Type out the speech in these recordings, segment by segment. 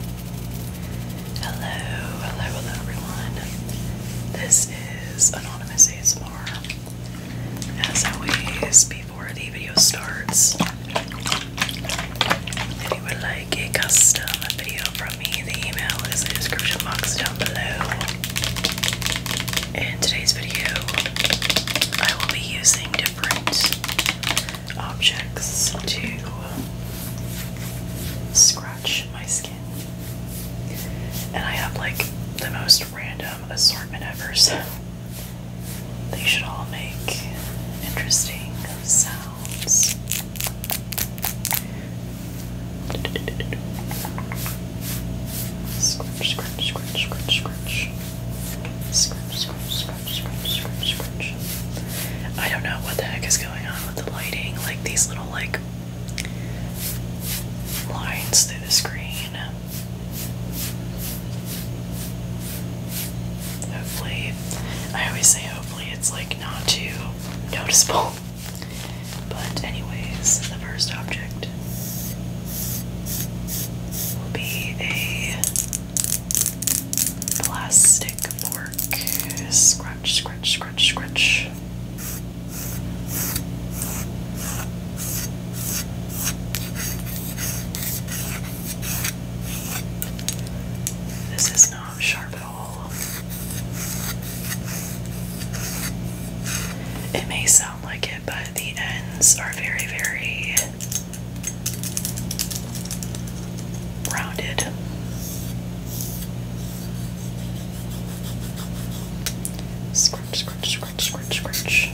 Hello, hello, hello everyone. This is Anonymous ASMR. As always, before the video starts, if you would like a custom video from me, the email is in the description box down below. In today's video, I will be using different objects to scratch my skin. And I have like the most random assortment ever, so they should all make interesting sounds. Scratch, scratch, scratch, scratch, scratch. Scratch, scratch, scratch, I don't know what the heck is going on with the lighting, like these little like lines through the screen. Hopefully, I always say hopefully it's like not too noticeable. But anyways, the first object will be a plastic scratch, scratch, scratch, scratch. This is not sharp at all. It may sound like it, but the ends are very, very rounded. Scratch, scratch, scratch, scratch, scratch.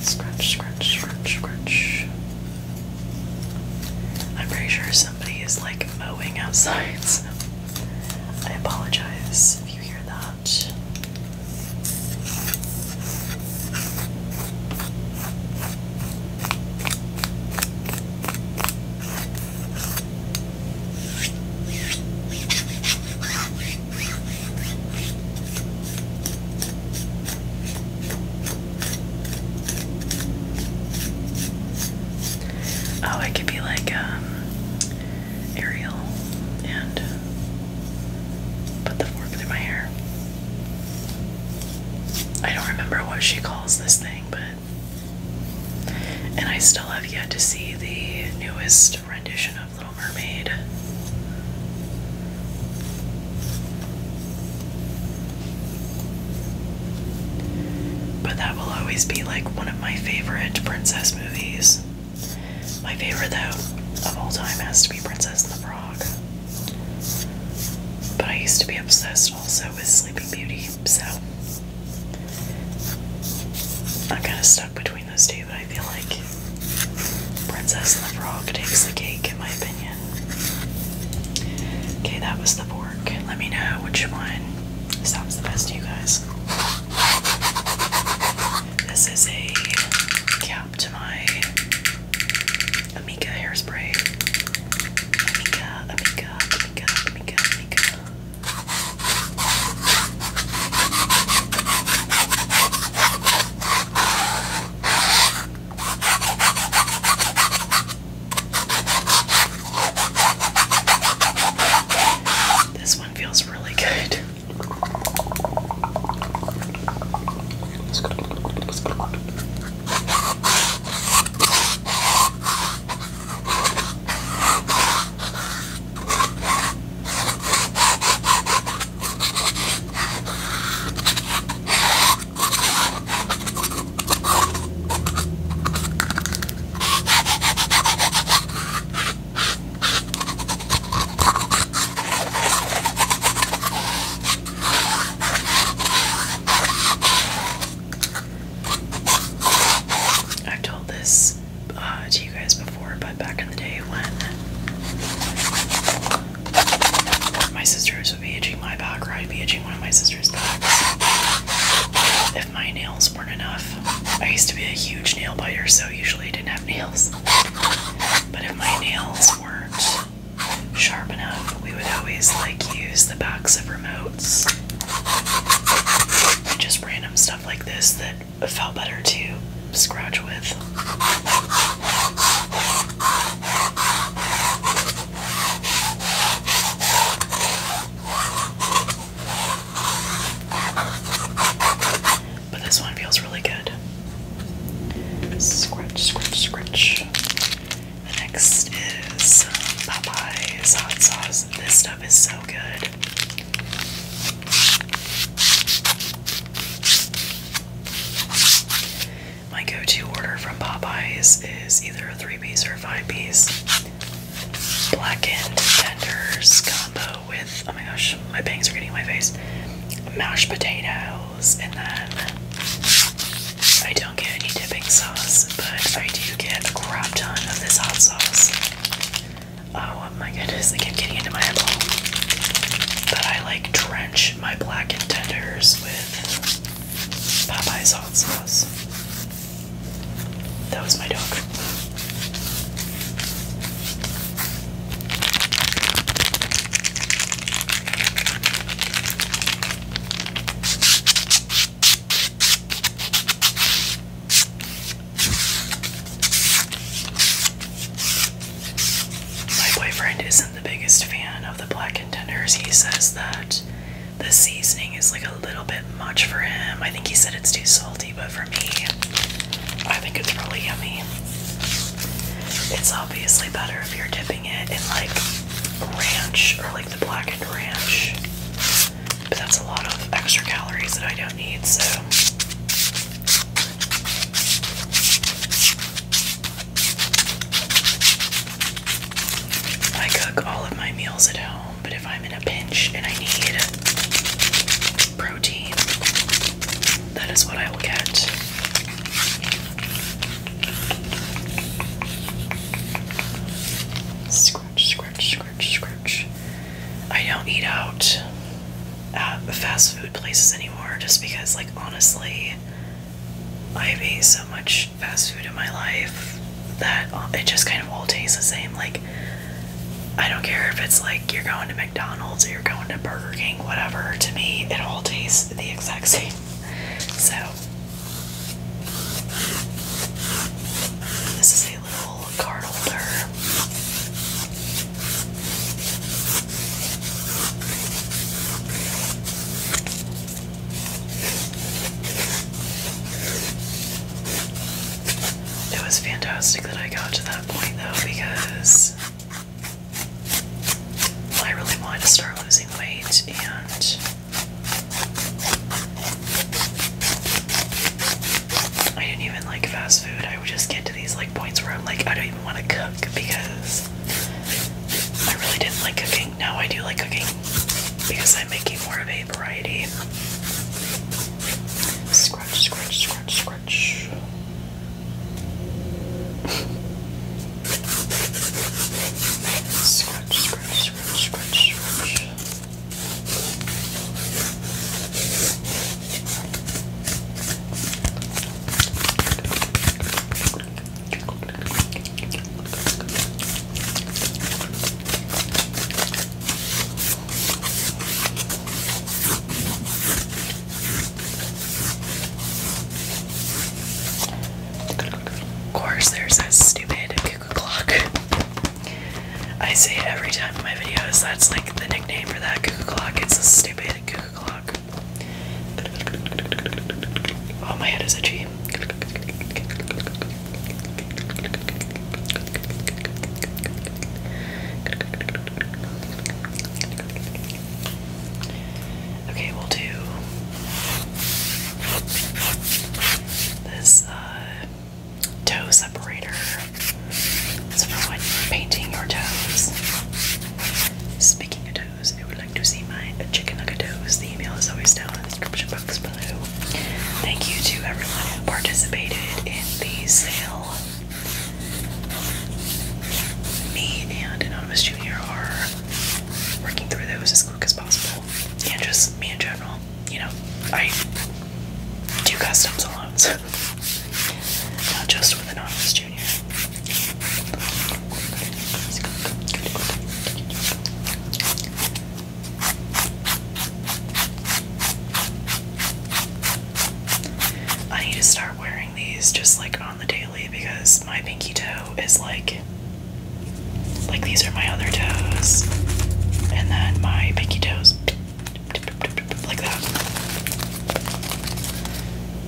Scratch, scratch, scratch, scratch. I'm pretty sure somebody is like mowing outside. I apologize if you hear that. Oh, it could be like um, Ariel and uh, put the fork through my hair. I don't remember what she calls this thing, but. And I still have yet to see the newest rendition of Little Mermaid. But that will always be like one of my favorite princess movies. My favorite, though, of all time has to be Princess and the Frog. But I used to be obsessed also with Sleeping Beauty, so I'm kind of stuck between those two, but I feel like Princess and the Frog takes the cake, in my opinion. Okay, that was the fork. Let me know which one Stop's the best, you guys. This is a cap to my Amika hairspray. Amika, Amika, Amika, Amika, Amika. This one feels really good. I've told this uh, to you guys before, but back in the day when my sisters would be itching my back or I'd be itching one of my sister's backs. If my nails weren't enough, I used to be a huge nail biter, so usually I didn't have nails. But if my nails weren't sharp enough, we would always like use the backs of remotes and just random stuff like this that felt better to scratch with. But this one feels really good. Scrunch, scrunch, scrunch. The next is um, Popeye's hot sauce. This stuff is so good. My go to order from Popeyes is either a three piece or a five piece. Blackened tenders combo with, oh my gosh, my bangs are getting in my face. Mashed potatoes, and then I don't get any dipping sauce, but I do get a crap ton of this hot sauce. Oh my goodness, I keep getting into my eyeball. But I like drench my blackened tenders with Popeye's hot sauce. That was my dog. My boyfriend isn't the biggest fan of the black contenders. He says that the seasoning is like a little bit much for him. I think he said it's too salty, but for me, I think it's really yummy. It's obviously better if you're dipping it in like ranch or like the blackened ranch, but that's a lot of extra calories that I don't need, so. I cook all of my meals at home, but if I'm in a pinch and I need protein, that is what I will get. Scratch, scratch, scratch, scratch. I don't eat out at fast food places anymore just because, like, honestly, I have ate so much fast food in my life that um, it just kind of all tastes the same. Like, I don't care if it's like you're going to McDonald's or you're going to Burger King, whatever. To me, it all tastes the exact same. So, this is a little card holder. It was fantastic that I got to that point though because I really wanted to start losing weight and I didn't even like fast food. I would just get to these like points where I'm like I don't even want to cook because because I really didn't like cooking. Now I do like cooking because I'm making more of a variety. Scratch, scratch, scratch, scratch. scratch, scratch, scratch, scratch, scratch. Of course, there's that stupid cuckoo clock. I say every time in my videos. That's like the nickname for that cuckoo clock. It's a stupid cuckoo clock. Oh, my head is itchy. Okay, we'll do this uh, toe separator. It's for when painting your toes. Speaking of toes tacos and would like to see my chicken nuggetos, the email is always down in the description box below. Thank you to everyone who participated in the sale. Me and Anonymous Jr. are working through those as quick as possible. And just me in general. You know, I do customs alone, so not just with Anonymous Junior. I need to start wearing these just like on the daily because my pinky toe is like like these are my other toes and then my pinky toes like that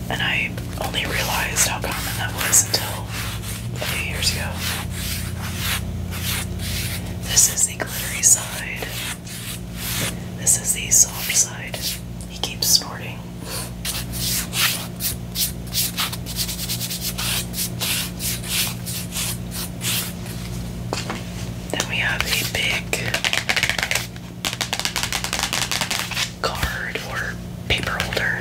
and I only realized how common that was until a few years ago. This is the glittery side. This is the soft side. He keeps snorting. Then we have a big card or paper holder.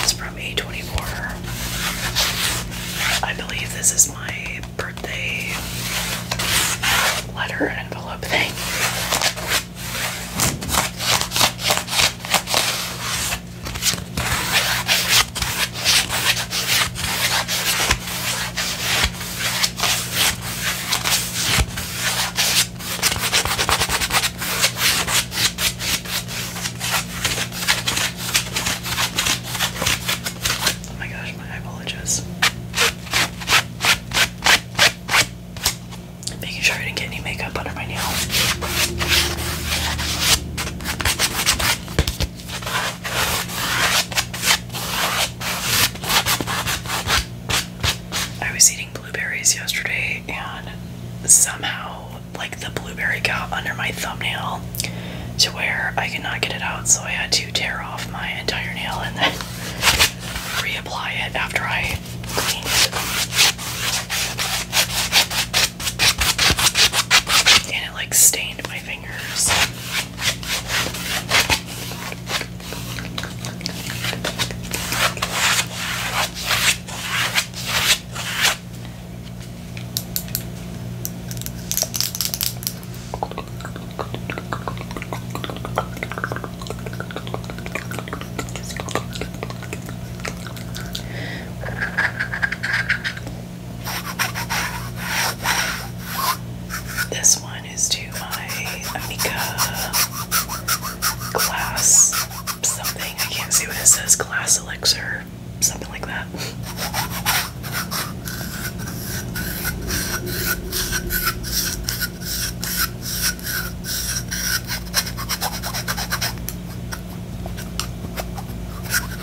It's from A24. I believe this is my birthday letter envelope thing. Oh my gosh, my apologies. Making sure I didn't get any makeup under my nails. I was eating blueberries yesterday and somehow like the blueberry got under my thumbnail to where I could not get it out so I had to tear off my entire nail and then reapply it after I cleaned And it like stained my my fingers. This one is to my Amika class. something. I can't see what it says. Glass elixir, something like that.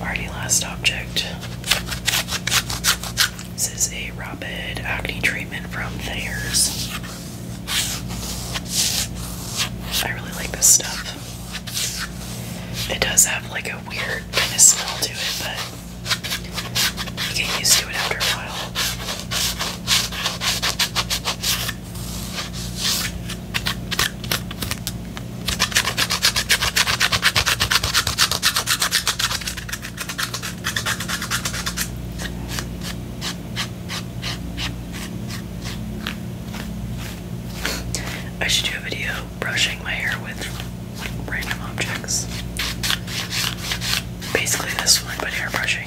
Already last object. This is a rapid acne treatment from Thayer's. I really like this stuff. It does have like a weird kind of smell to it, but you get used to it after a while. I should do a video brushing my hair with random objects. Basically, this one, but hair brushing.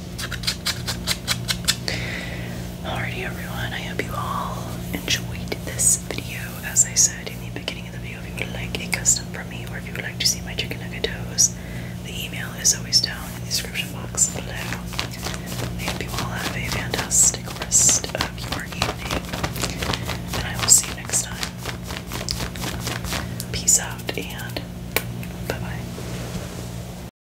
Alrighty, everyone. I hope you all enjoyed this video. As I said in the beginning of the video, if you would like a custom from me or if you would like to see my chicken nugget toes, the email is always down in the description box below. I hope you all have a fantastic rest of your evening, and I will see you next time. Peace out and bye bye.